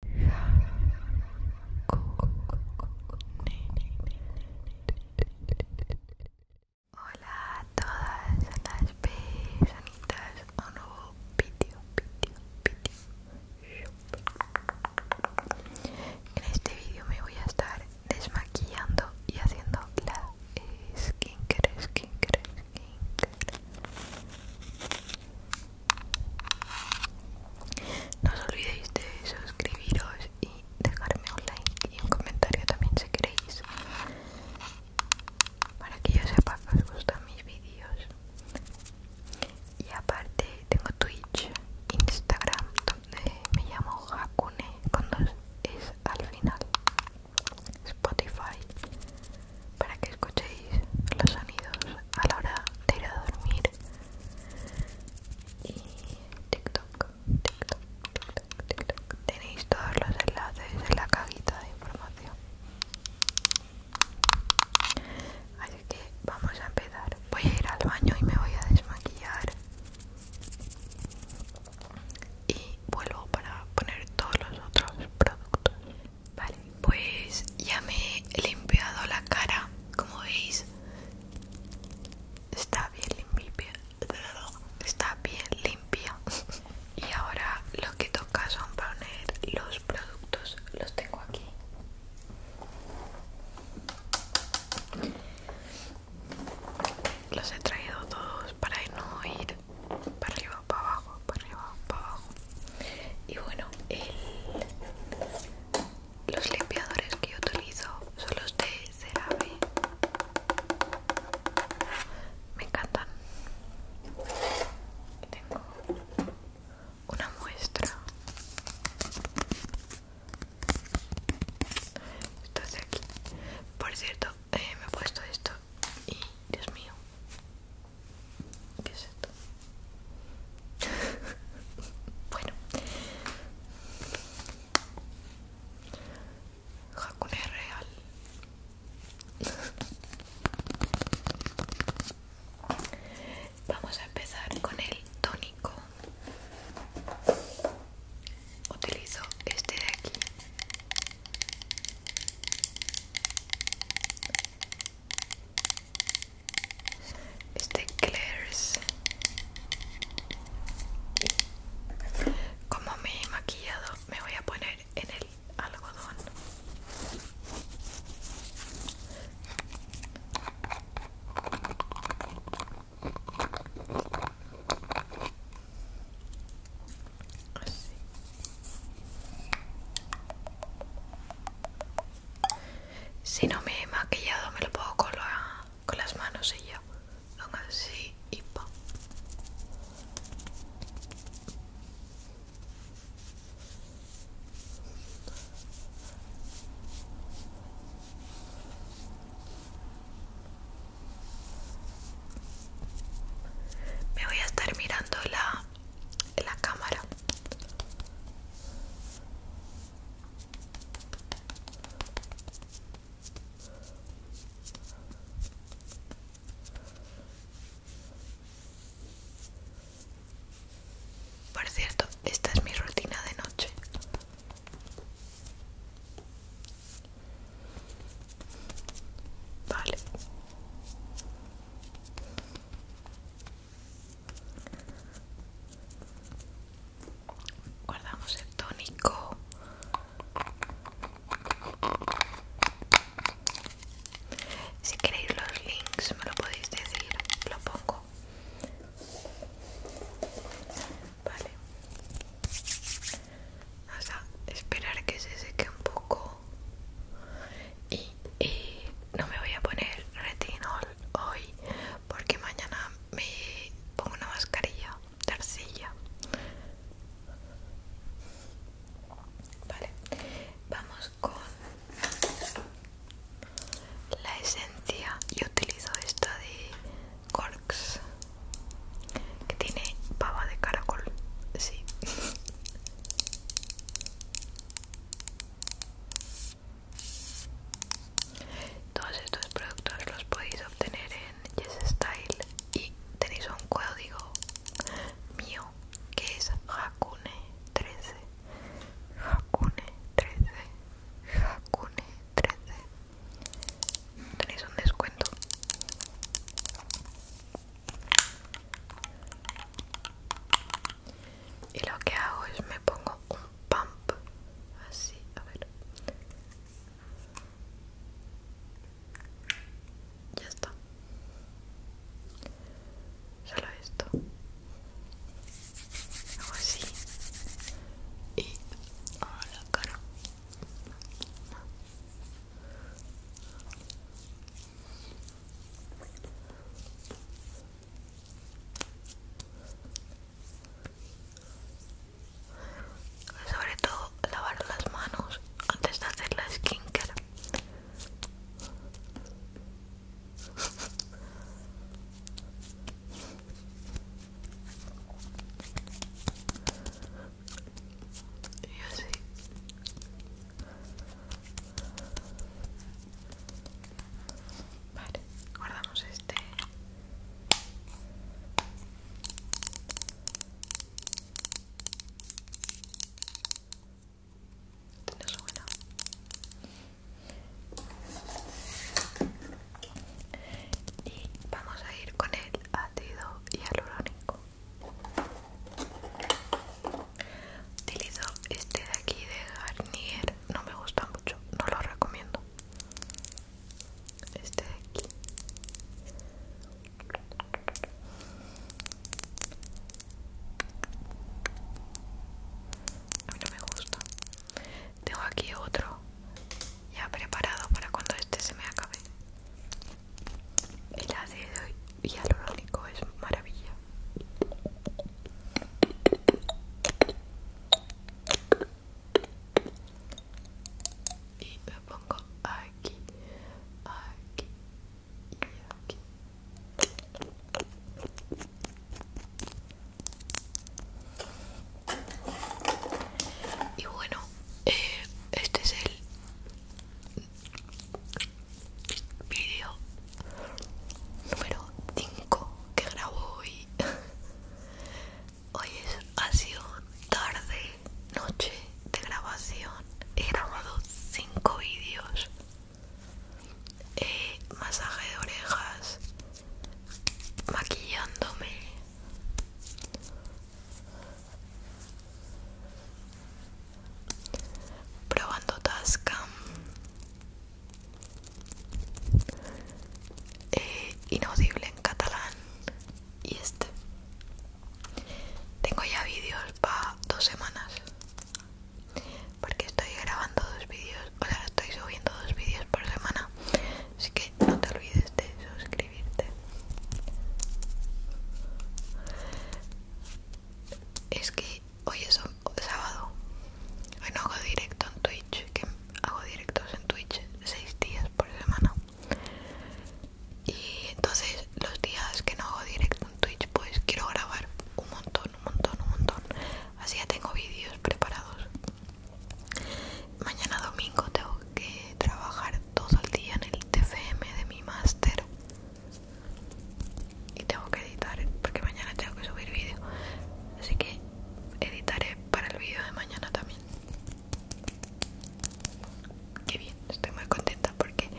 Hola a todas las personitas, un nuevo vídeo, vídeo, vídeo. En este vídeo me voy a estar desmaquillando y haciendo la skincare, skincare, skincare. No os olvidéis de suscribiros y dejarme un like y un comentario también si queréis para que yo sepa que os gustan mis vídeos. Y aparte tengo Twitch, Instagram, donde me llamo Hakune con dos es al final. Spotify para que escuchéis los sonidos a la hora de ir a dormir y TikTok, TikTok, TikTok, TikTok. Tenéis todos los enlaces en la cajita de información. Así que vamos a empezar. Voy a ir al baño y me voy a desmaquillar. Y vuelvo para poner todos los otros productos. Vale, pues ya me he limpiado la cara, como veis. Está bien limpia. Está bien Y ahora lo que toca son poner los productos. Los tengo aquí. Los he traído todos para no ir para arriba, para abajo, para arriba, para abajo y bueno los limpiadores que yo utilizo son los de CeraVe me encantan tengo una muestra esto es de aquí por cierto eh, me he puesto esto y Dios mío ¿Qué es bueno. Hakune real. Vamos a empezar con el tónico. Utilizo este de aquí este Claire's como me he maquillado me voy a poner en el algodón Así. Si no me he maquillado me lo puedo con, con las manos y yo Aún así y pa. Me voy a estar mirando la la cámara por cierto, esta es mi rutina de noche. Vale. Guardamos el tónico. Si queréis los links me lo podéis decir, lo pongo. Vale. Vamos a esperar que se seque un poco. Y, no me voy a poner retinol hoy porque mañana me pongo una mascarilla de arcilla vale vamos con la esencia yo utilizo esta de corks que tiene pava de caracol sí Todos estos productos los podéis obtener en YesStyle y tenéis un código mío que es Hakune13. Hakune13. Hakune13. Tenéis un descuento y lo que hago es me pongo un pump así a ver ya está solo esto hago así y a oh, la cara sobre todo lavar las manos antes de hacer la skincare y Vale, guardamos este. es Y vamos a ir con el ácido hialurónico. Utilizo este de aquí de Garnier, no me gusta mucho, no lo recomiendo. Este de aquí. A mí no me gusta. Tengo aquí otro ya preparado para cuando este se me acabe. El ácido hialurónico es maravilla y me pongo aquí aquí y aquí y bueno eh, este es el vídeo número 5 que grabo hoy. Hoy ha sido tarde, noche de grabación. He grabado 5 vídeos. masaje de orejas, maquillándome. Probando Tascam eh, inaudible en catalán y este tengo ya vídeos para dos semanas porque estoy grabando dos vídeos o sea estoy subiendo dos vídeos por semana así que no te olvides de suscribirte es que hoy es sábado. Hoy no hago directo en Twitch, que hago directos en Twitch seis días por semana. Y entonces los días que no hago directo en Twitch, pues quiero grabar un montón, un montón, un montón. Así ya tengo vídeos preparados. Mañana domingo tengo que trabajar todo el día en el TFM de mi máster y tengo que editar porque mañana tengo que subir vídeo así que editaré para el vídeo de mañana también que bien estoy muy contenta porque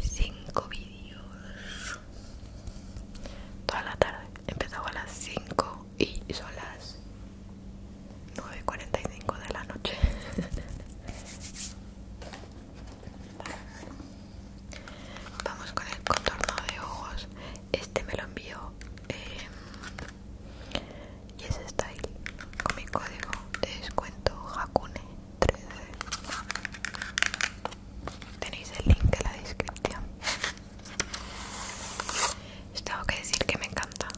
cinco vídeos toda la tarde empezaba a las 5 y son las 9.45 de la noche Vamos con el contorno de ojos. Este me lo envió eh, Y es Style con mi código de descuento Hakune13. Tenéis el link en la descripción. tengo que decir que me encanta.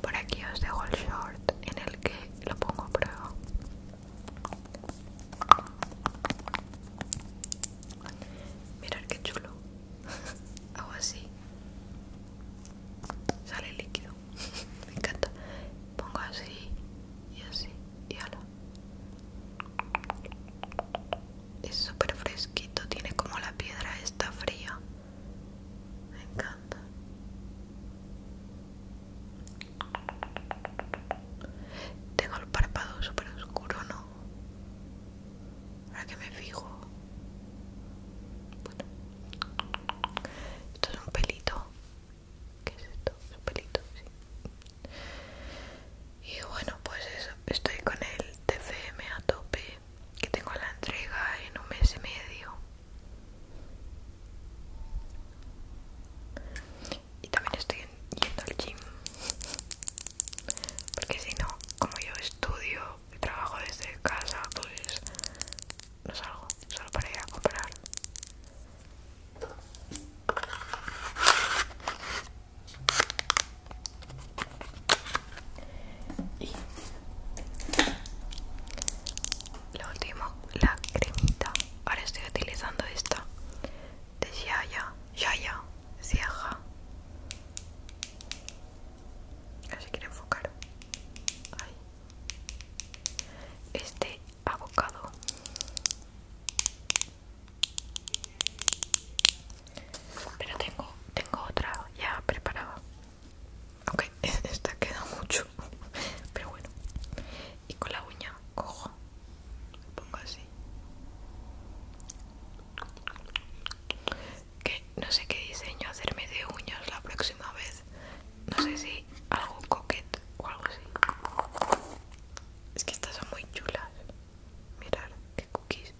Por aquí os dejo el short en el que lo pongo a prueba. Mirad qué chulo. Hago así. Sale líquido. Me encanta. Pongo así y así y ala. Es súper fresquito, tiene como la piedra está fría. Me encanta. Tengo el párpado super oscuro, ¿no? Ahora que me fijo. Bueno. Esto es un pelito. ¿Qué es esto? Es un pelito, sí. Y bueno, pues eso. Estoy con el TFM a tope. Que tengo la entrega en un mes y medio. Y también estoy yendo al gym. Porque si no, como yo estudio y trabajo desde casa, pues no salgo, solo para ir a comprar lo último la cremita ahora estoy utilizando esta de ya Yaya Siaja así quiero enfocar este abocado pero tengo tengo otra ya preparada Ok, esta queda mucho pero bueno y con la uña cojo pongo así que no sé qué diseño hacerme de uñas la próxima vez no sé si algo coquet o algo así es que estas son muy chulas mirar qué cookies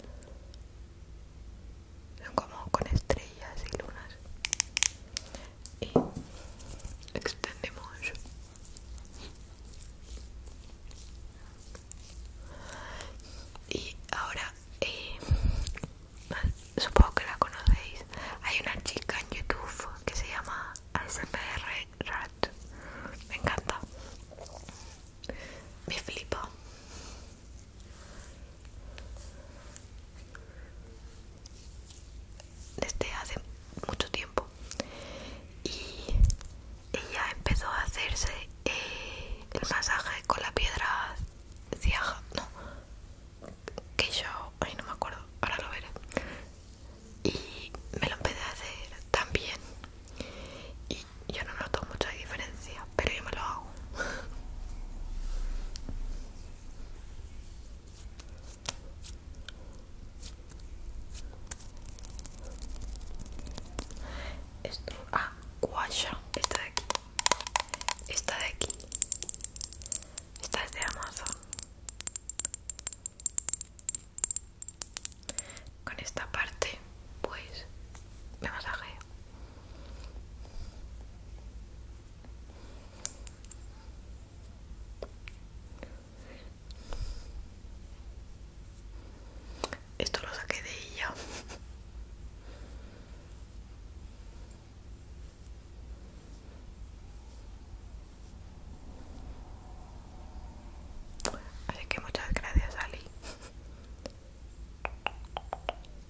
son como con estrellas y lunas y extendemos y ahora eh, supongo que la conocéis hay una chica en youtube que se llama ASMR Rat me encanta me flipo desde hace mucho tiempo y ella empezó a hacerse eh, el masaje con la piedra ciaja no que yo ahí no me acuerdo ahora lo veré y me lo empecé a hacer también y yo no noto mucha diferencia pero yo me lo hago Esto, ah, guacha, está de aquí, está de aquí, está de Amazon. Con esta parte, pues me masajeo. Esto lo saqué de ella. Así que muchas gracias, Ali. 5, 6, 7, 8, 9,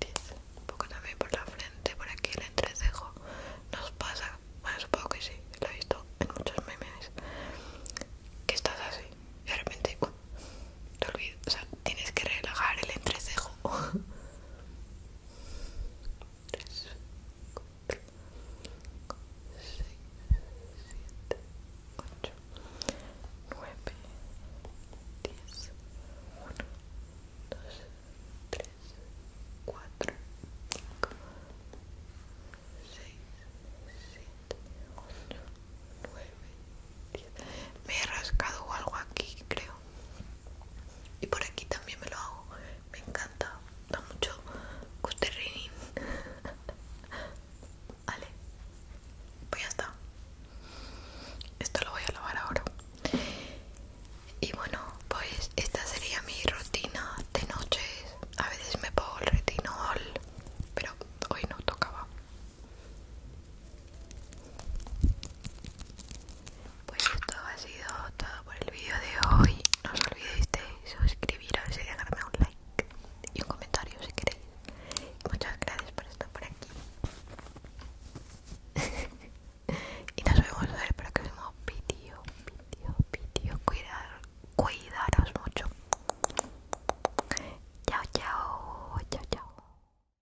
10 Un poco también por la frente, por aquí el entrecejo Nos pasa, bueno supongo que sí, lo he visto en muchos memes Que estás así, y de repente te olvidas O sea, tienes que relajar el entrecejo tres, cuatro, cinco, seis, siete, ocho, nueve, diez, uno, dos, tres, cuatro, cinco, me he rascado algo aquí creo y por aquí también me lo hago me encanta da mucho Custerin. vale pues ya está esto lo voy a lavar ahora y bueno pues esta sería mi rutina de noches a veces me pongo el retinol pero hoy no tocaba pues esto ha sido todo por el vídeo de hoy. No os olvidéis de suscribiros y dejarme un like y un comentario si queréis. Muchas gracias por estar por aquí. y nos vemos a ver para el próximo vídeo. cuidaros mucho. Chao, chao. Chao, chao.